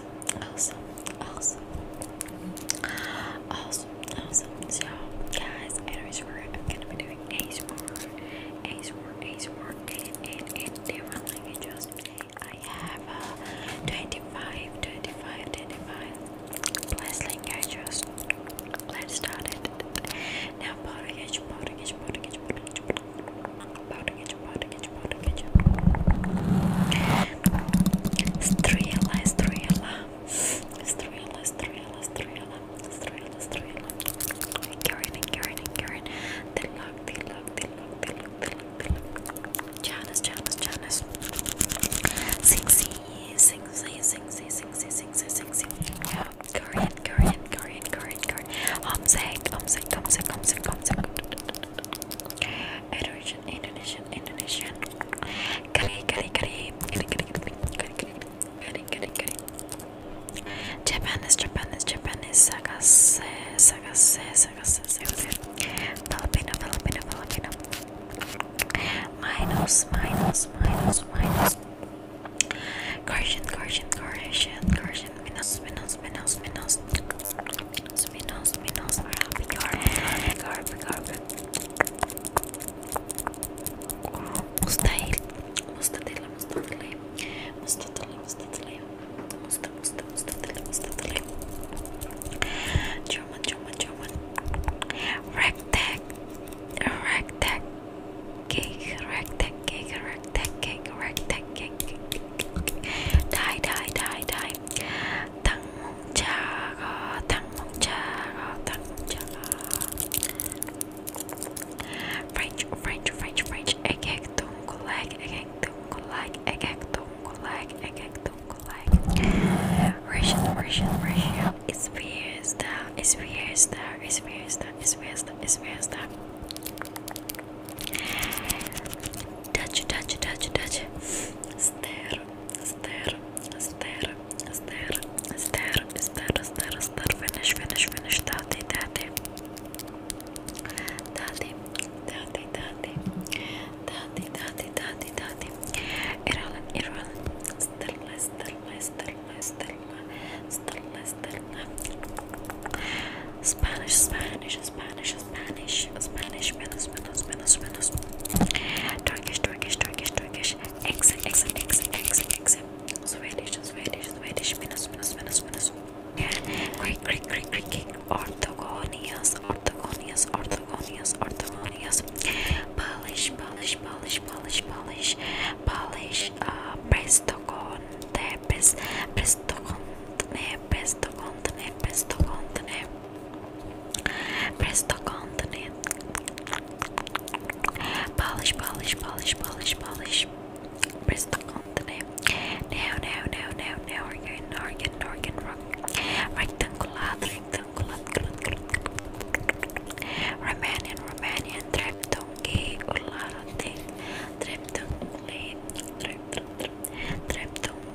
awesome, awesome, awesome, awesome, awesome. So, guys, anyways, I'm gonna be doing Ace War, Ace War, Ace War, and in, in different languages. I have uh, 25, 25, 25 plus languages. Let's start it. Now, Portuguese, Portuguese, Portuguese, Portuguese, Portuguese, Portuguese, powder ketchup. Strela, strela, strela, strela, strela, strela, strela. Karen and Karen and Karen. The lock, the lock, the lock, the lock, the lock, the lock. Janice, Janice, Janice. Sexy, sexy, sexy, sexy, sexy, sexy. Yeah. Korean, Korean, Korean, Korean, Korean. I'm sick, I'm sick, I'm sick, I'm sick, I'm sick. Indonesian, Indonesian, Indonesian. Kari, kari, kari. Kari, kari, kari. Kari, kari, kari. Japanese, Japanese, Japanese. Sagase, sagase, sagase, sagase. Filipino, Filipino, Filipino. Minus, minus, minus, minus. Correction, correction, correction, correction. Minus, minus, minus, minus minnows, minnows, minnows are up in your garb, garb. مستحيل مستطيل مستطيل مستطيل مستطيل مستطيل مستطيل مستطيل German German German Rectac Rectac Cake Rectac Cake Rectac Cake Rectac Cake Die Die Die Die 당몽차가 당몽차가 당몽차가 French French French French egg 동글락 egg 동글락 egg 동글락 egg 동글락 Russian Russian Russian It's fiesta It's fiesta It's fiesta It's fiesta It's fiesta Touch, touch, touch, touch. Stare, stare, stare, stare, stare, stare, stare, stare. Finish, finish, finish. Daddy, daddy. Daddy, daddy, daddy. Daddy, daddy, daddy, daddy. Ireland, Ireland. Stella, Stella, Stella, Stella, Stella, Stella. Spanish, Spanish, Spanish, Spanish, Spanish, Spanish, Spanish, Spanish, Turkish, Turkish, Turkish, Turkish, X, X, X, X, X, Swedish, Swedish, Swedish, minus, minus, minus, minus, Greek, Greek, Greek, Greek, orthogonias, orthogonias, orthogonias, orthogonias, Polish, Polish, Polish, Polish, Polish, Polish, uh, prestoconte, pres, prestoconte, prestoconte contane, pesto contane, presto contane. Polish, polish, polish, polish, polish. Presto contane. Now, now, now, now, now. Organ, organ, organ, rectangular, rectangular. Romanian, Romanian, treptongi, urlarotin, treptongi, treptongi, treptongi.